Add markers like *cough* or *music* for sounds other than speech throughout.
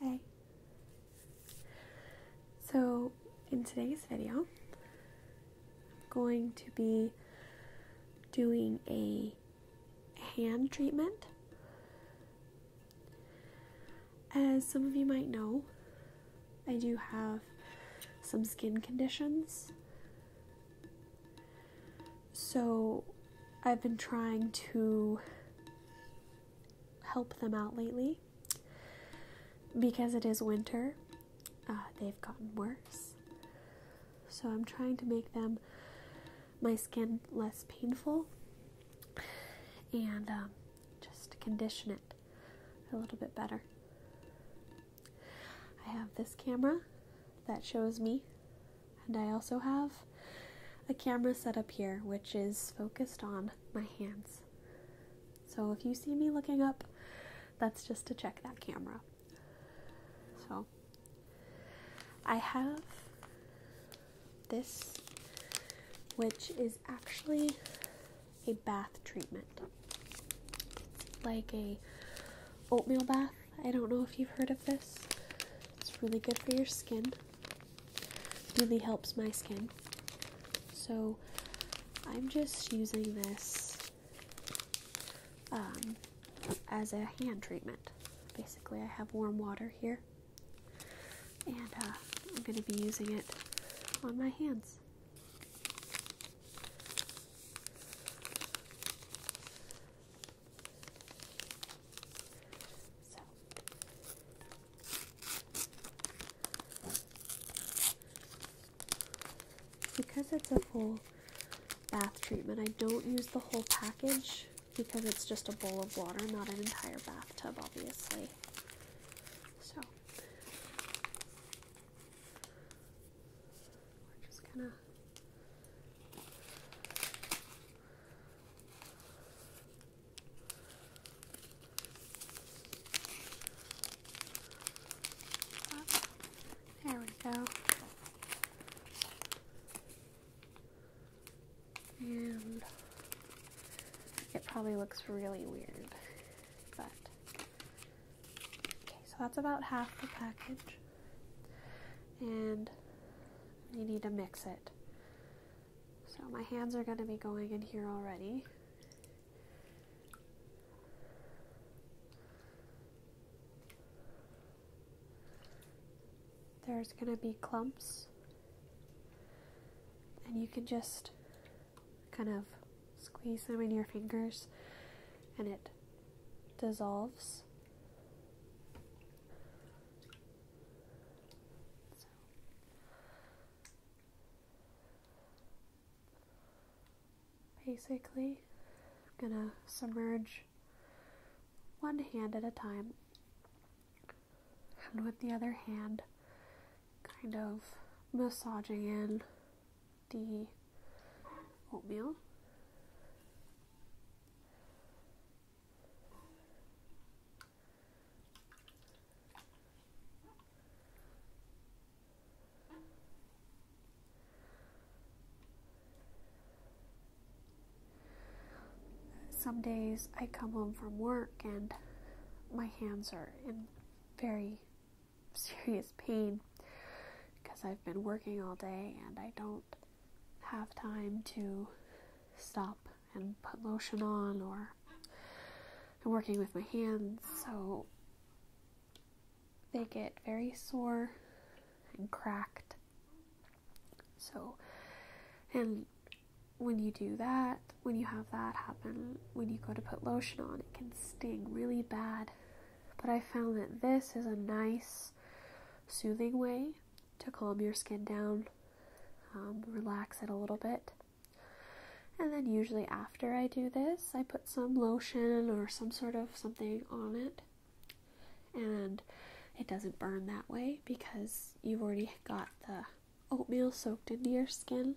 Hey. So, in today's video, I'm going to be doing a hand treatment. As some of you might know, I do have some skin conditions so I've been trying to help them out lately because it is winter. Uh, they've gotten worse. So I'm trying to make them my skin less painful and um, just condition it a little bit better. I have this camera that shows me, and I also have a camera set up here which is focused on my hands. So if you see me looking up, that's just to check that camera. So I have this, which is actually a bath treatment. like a oatmeal bath. I don't know if you've heard of this. It's really good for your skin. Really helps my skin. So I'm just using this um, as a hand treatment. Basically, I have warm water here, and uh, I'm going to be using it on my hands because it's a full bath treatment, I don't use the whole package because it's just a bowl of water, not an entire bathtub, obviously. So we're just gonna there we go. And it probably looks really weird, but Okay, so that's about half the package. And you need to mix it. So my hands are going to be going in here already. There's going to be clumps. And you can just kind of Squeeze them in your fingers and it dissolves. Basically, I'm going to submerge one hand at a time and with the other hand, kind of massaging in the oatmeal. Some days I come home from work and my hands are in very serious pain because I've been working all day and I don't have time to stop and put lotion on or I'm working with my hands so they get very sore and cracked. So and when you do that, when you have that happen, when you go to put lotion on, it can sting really bad but I found that this is a nice, soothing way to calm your skin down, um, relax it a little bit. And then, usually, after I do this, I put some lotion or some sort of something on it, and it doesn't burn that way because you've already got the oatmeal soaked into your skin.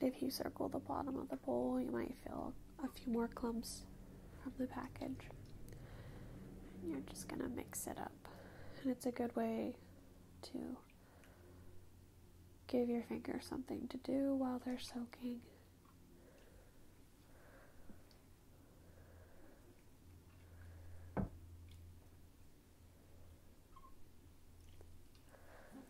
if you circle the bottom of the bowl, you might feel a few more clumps from the package. you're just going to mix it up. And it's a good way to give your fingers something to do while they're soaking.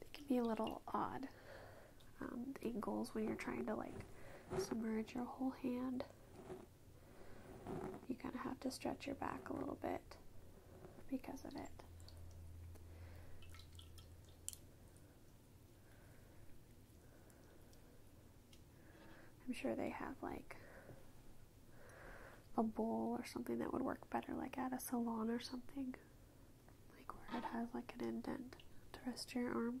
It can be a little odd, um, angles when you're trying to like submerge your whole hand. You kind of have to stretch your back a little bit because of it. I'm sure they have like a bowl or something that would work better, like at a salon or something, like where it has like an indent to rest your arm.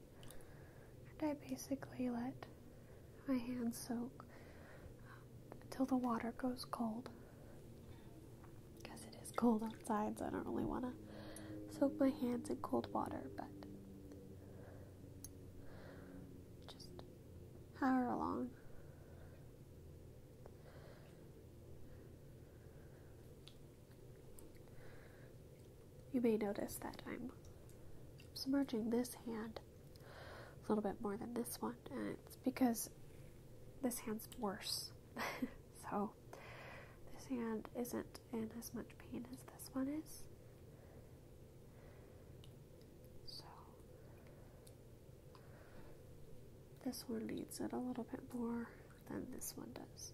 and I basically let my hands soak until the water goes cold. Because it is cold outside, so I don't really want to soak my hands in cold water, but just however long. You may notice that I'm submerging this hand a little bit more than this one, and it's because this hand's worse. *laughs* so, this hand isn't in as much pain as this one is. So, this one needs it a little bit more than this one does.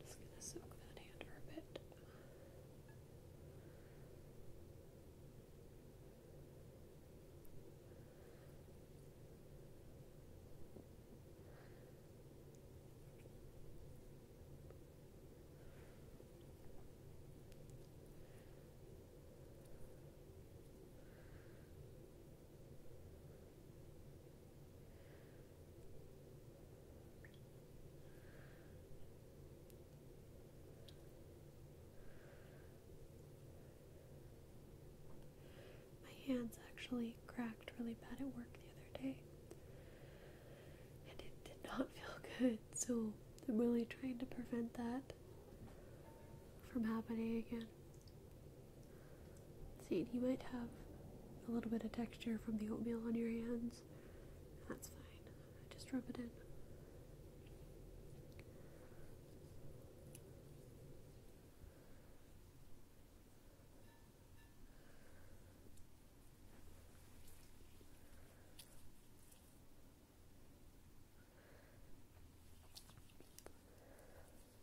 Just gonna soak that hand for a bit. My hands actually cracked really bad at work the other day, and it did not *laughs* feel good, so I'm really trying to prevent that from happening again. See, and you might have a little bit of texture from the oatmeal on your hands. That's fine. Just rub it in.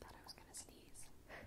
Thought I was gonna sneeze. Alright.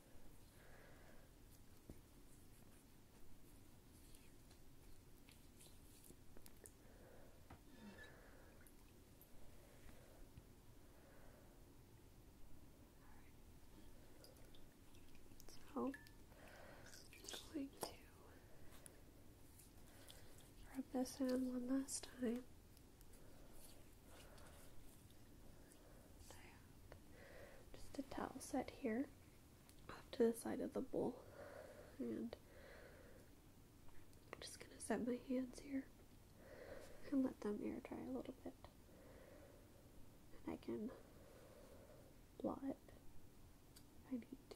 I'm going to rub this in one last time. Just a towel set here off to the side of the bowl. And I'm just going to set my hands here and let them air dry a little bit. And I can blot if I need to.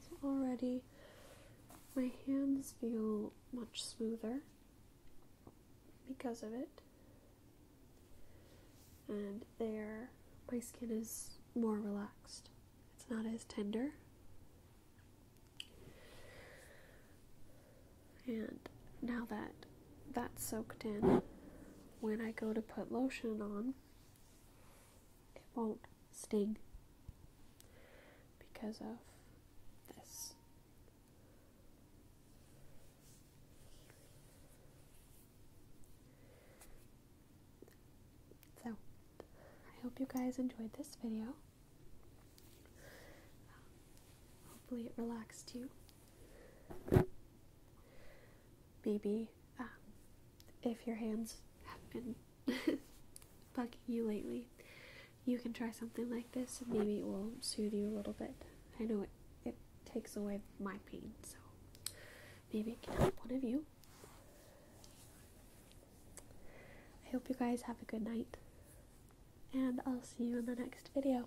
So already my hands feel much smoother because of it. And there, my skin is more relaxed. It's not as tender. And now that that's soaked in, when I go to put lotion on, it won't sting because of this. So, I hope you guys enjoyed this video. hopefully, it relaxed you maybe ah, if your hands have been *laughs* bugging you lately, you can try something like this maybe it will soothe you a little bit. I know it, it takes away my pain, so maybe it can help one of you. I hope you guys have a good night, and I'll see you in the next video.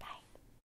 Bye.